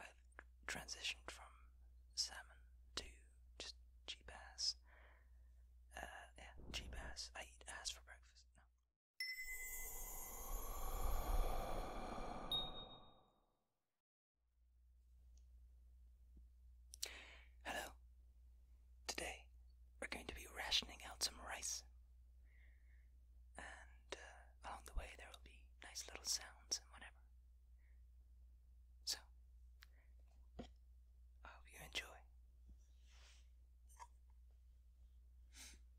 I've transitioned from salmon to just cheap ass. Uh, yeah, cheap I eat ass for breakfast. Hello. Today we're going to be rationing out some rice. And uh, along the way there will be nice little sounds and whatever. So, I hope you enjoy.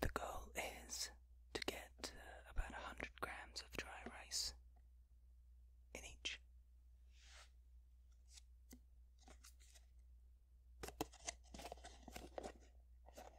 The goal is to get uh, about 100 grams of dry rice in each.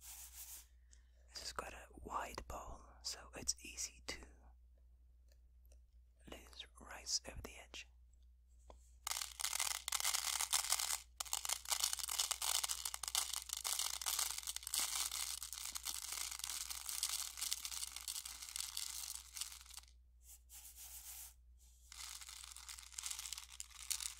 This is quite a wide bowl, so it's easy to lose rice over the edge.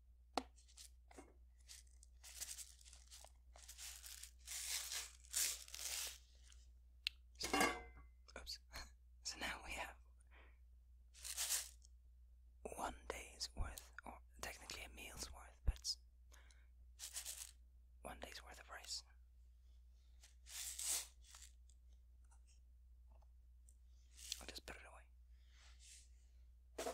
So, now we have one day's worth, or technically a meal's worth, but it's one day's worth of rice. I'll just put it away.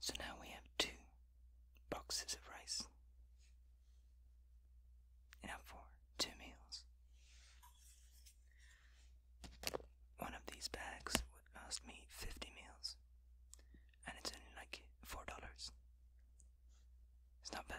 So now we have two boxes of rice. Enough for two meals. One of these bags would last me 50 meals, and it's only like $4. It's not bad.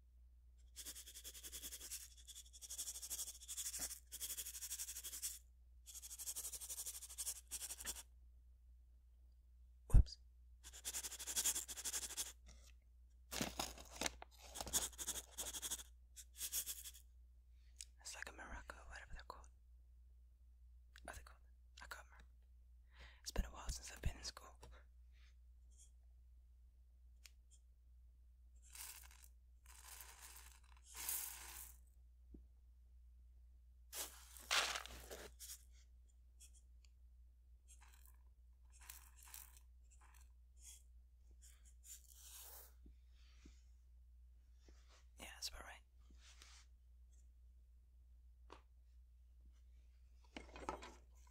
It's like a Morocco, whatever they're called. Are they called? I can It's been a while since I've been in school. Yeah, that's about right.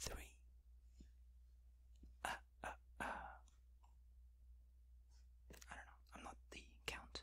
Three. Ah, ah, ah. I don't know. I'm not the count.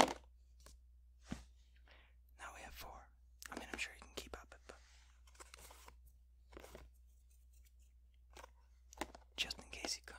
Now we have four. I mean, I'm sure you can keep up, but just in case you can't.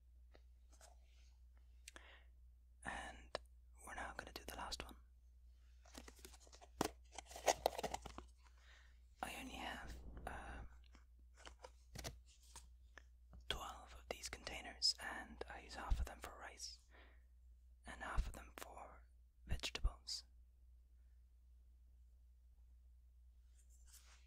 And we're now going to do the last one. I only have um, 12 of these containers, and I use half of them for rice and half of them for vegetables.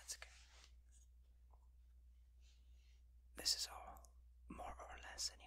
That's okay. This is all, more or less, anyway.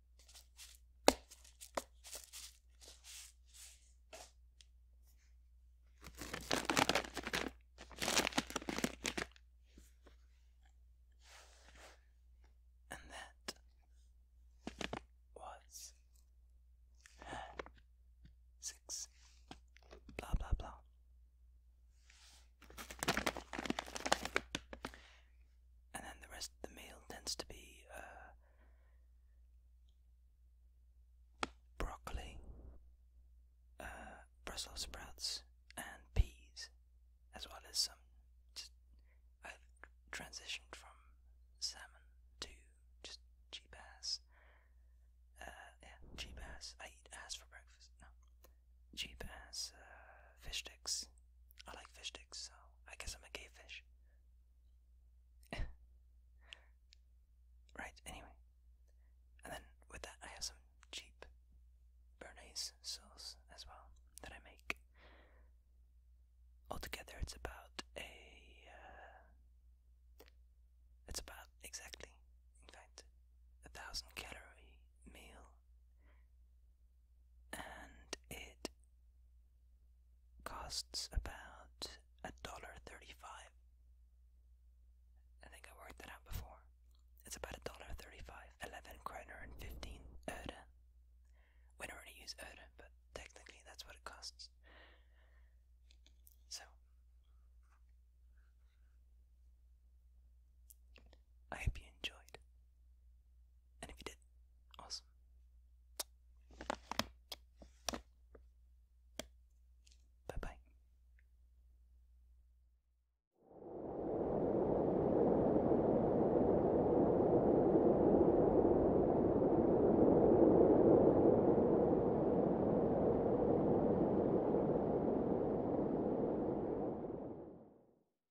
And that was six blah blah blah and then the rest of the meal tends to be uh, broccoli, uh, Brussels sprouts, and peas, as well as some. Just, I've transitioned from salmon to just cheap ass. Uh, yeah, cheap ass. I eat ass for breakfast. No, cheap ass fish sticks I like fish sticks, so I guess I'm a gay fish. right, anyway. And then with that, I have some cheap Bernays sauce as well that I make. Altogether, it's about a. Uh, it's about exactly, in fact, a thousand calorie meal and it costs about a dollar thirty-five. I think I worked that out before. It's about a dollar thirty-five, eleven kroner and fifteen öre. We don't really use öre, but technically that's what it costs. So I hope you enjoyed. And if you did, awesome. Bye bye.